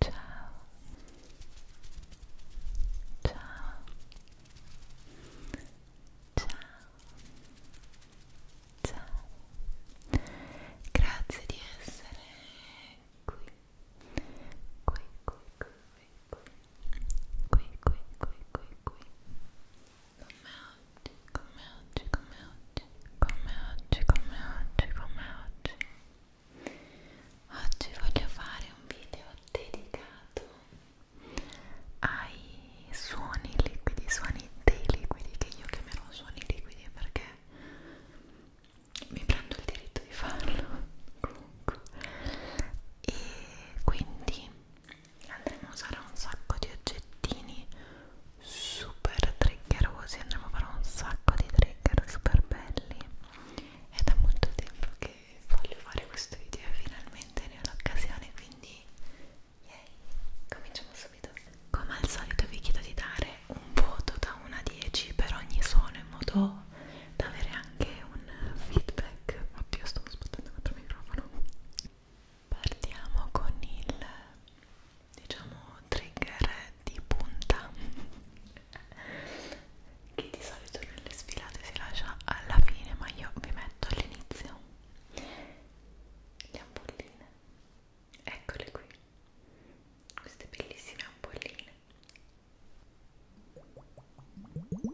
Ciao. Ciao. Ciao. Ciao. Grazie di essere qui. Qui, qui, qui, qui, qui, qui, qui, qui. Come oggi, come oggi, come oggi, come oggi, come oggi, come oggi. Oggi voglio fare un video dedicato ai suoni liquidi, suoni dei liquidi che io chiamerò suoni liquidi perché mi prendo il diritto di farlo comunque e quindi andremo a usare un sacco di oggettini super triggerosi andremo a fare un sacco di trigger super belli è da molto tempo che voglio fare questo video e finalmente ne ho l'occasione quindi yay cominciamo subito come al solito vi chiedo di dare un voto da 1 a 10 per ogni suono in modo da avere anche un feedback oddio stavo sbattendo contro il microfono Partiamo con il diciamo trigger di punta che di solito nelle sfilate si lascia alla fine ma io vi metto all'inizio le ampolline eccole qui queste bellissime ampolline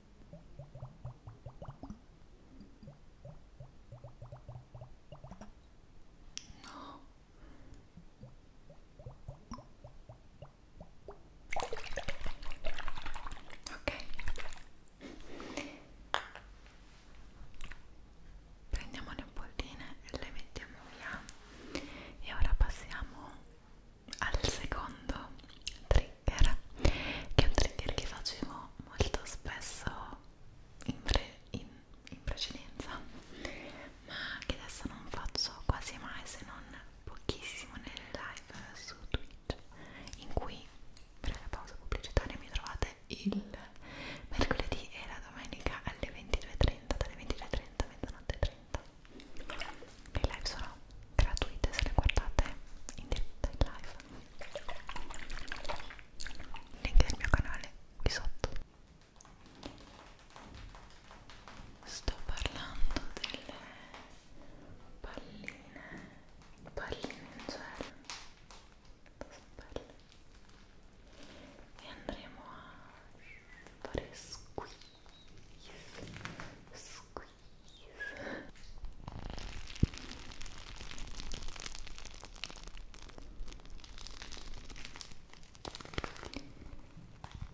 No. Ok. Prendiamo le polline e le mettiamo via. E ora passiamo al secondo trick trigger che è un trigger che facevo molto spesso in, pre, in, in precedenza ma che adesso non faccio quasi mai se non pochissimo nelle live su Twitch in cui per la pausa pubblicitaria mi trovate il mercoledì e la domenica alle 22.30 dalle 22.30 a mezzanotte 30 le live sono gratuite se le guardate in diretta in live link del mio canale qui sotto sto parlando delle palline palline in gel e andremo a fare squeeze squeeze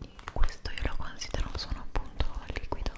e questo io lo considero un suono appunto liquido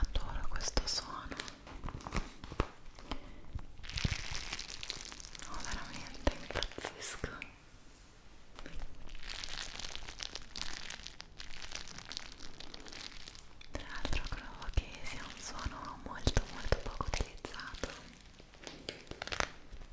Adoro questo suono. No, veramente impazzisco. Tra l'altro credo che sia un suono molto molto poco utilizzato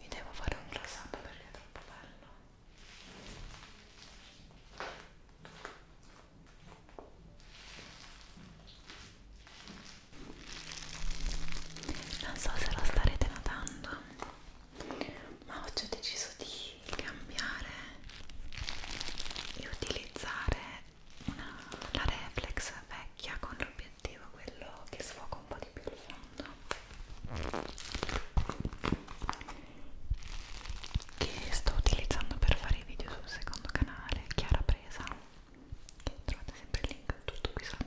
vi devo fare un close up perché è troppo bello non so se lo starete notando ma oggi ho deciso di cambiare e utilizzare una, la reflex vecchia con l'obiettivo quello che sfoca un po' di più il fondo che sto utilizzando per fare i video sul secondo canale Chiara Presa che trovate sempre il link tutto qui sotto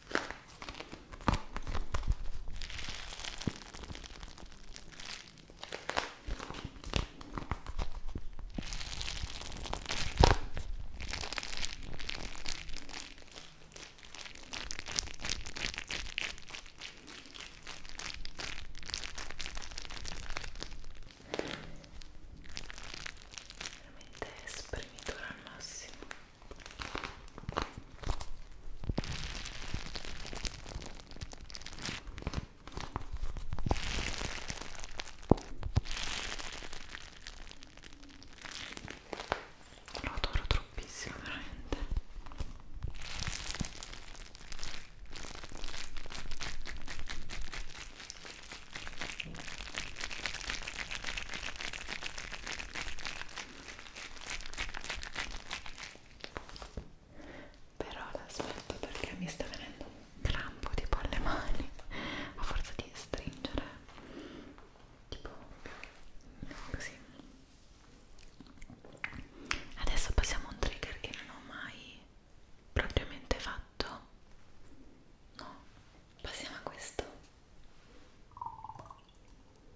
veramente esprimitura al massimo lo adoro troppissimo, veramente però l'aspetto perché mi sta venendo un crampo tipo alle mani a forza di stringere tipo così adesso passiamo a un trigger che non ho mai propriamente fatto no passiamo a questo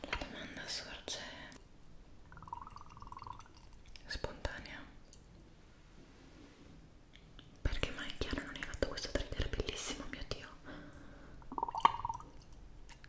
La domanda sorge spontanea. Perché mai Chiara non hai fatto questo trigger bellissimo, mio Dio?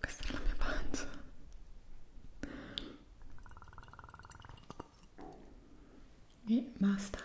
Questa è la mia pancia. E basta.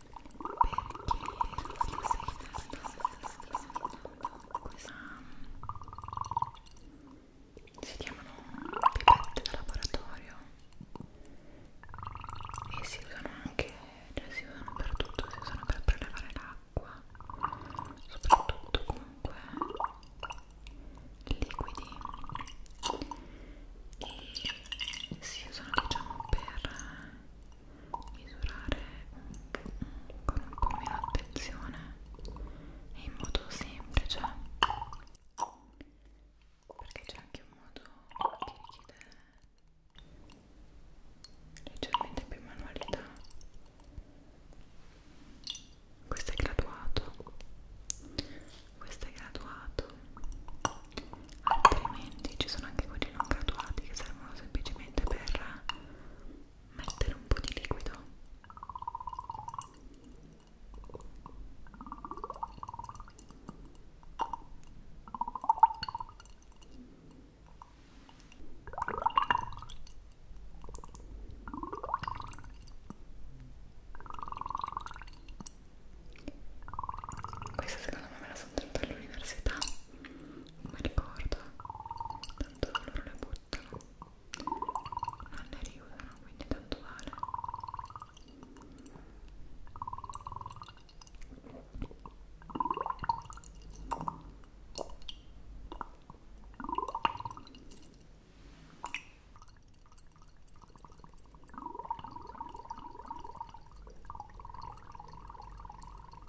questa si chiamano pipette da laboratorio e si usano anche cioè si usano per tutto si usano per prelevare l'acqua soprattutto comunque liquidi e si usano diciamo per misurare con un po' meno attenzione e in modo semplice perché c'è anche un modo che richiede leggermente più manualità questo è graduato questo è graduato altrimenti ci sono anche quelli non graduati che servono semplicemente per mettere un po' di liquido questa secondo me me la sono tenuta all'università mi ricordo tanto loro le buttano non le riusano quindi tanto vale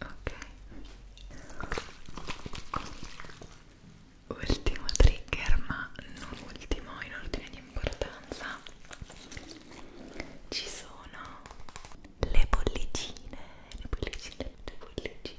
ok ultimo trigger ma non ultimo in ordine di importanza ci sono le bollicine le bollicine le bollicine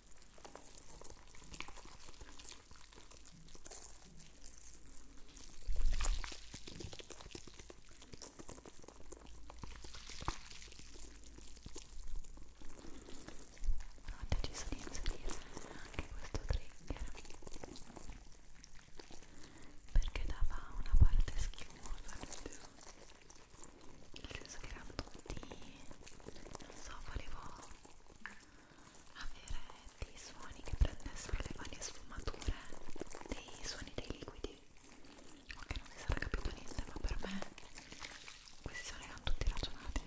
ho deciso di inserire anche questo trigger perché dava una parte schiumosa nel senso che erano tutti non so volevo avere dei suoni che prendessero le varie sfumature dei suoni dei liquidi ok non si sarà capito niente ma per me questi suoni erano tutti ragionati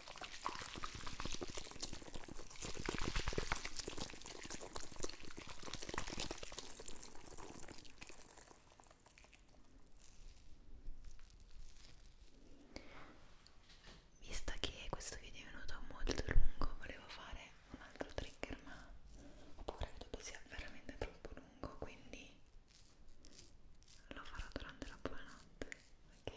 Visto che questo video è venuto molto lungo, volevo fare un altro trigger, ma ho paura che dopo sia veramente troppo lungo, quindi lo farò durante la buonanotte, ok?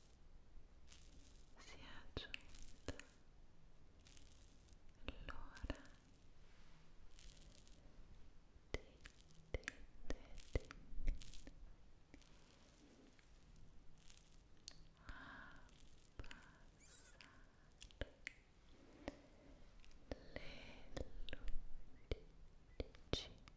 si è giunta l'ora di, di, di, di abbassare le luci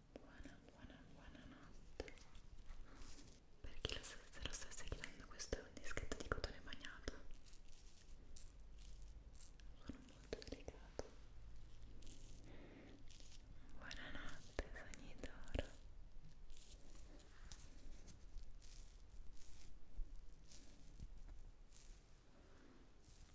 buona buona buona notte per chi lo, se lo sta seguendo questo è un dischetto di cotone bagnato sono molto delicato buonanotte sogni d'oro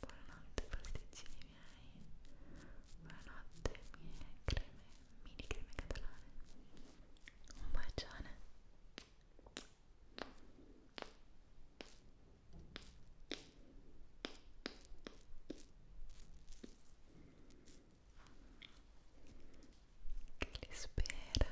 Buonanotte pasticcini miei, buonanotte mie creme, mini creme catalane. Un bacione. Che li spera.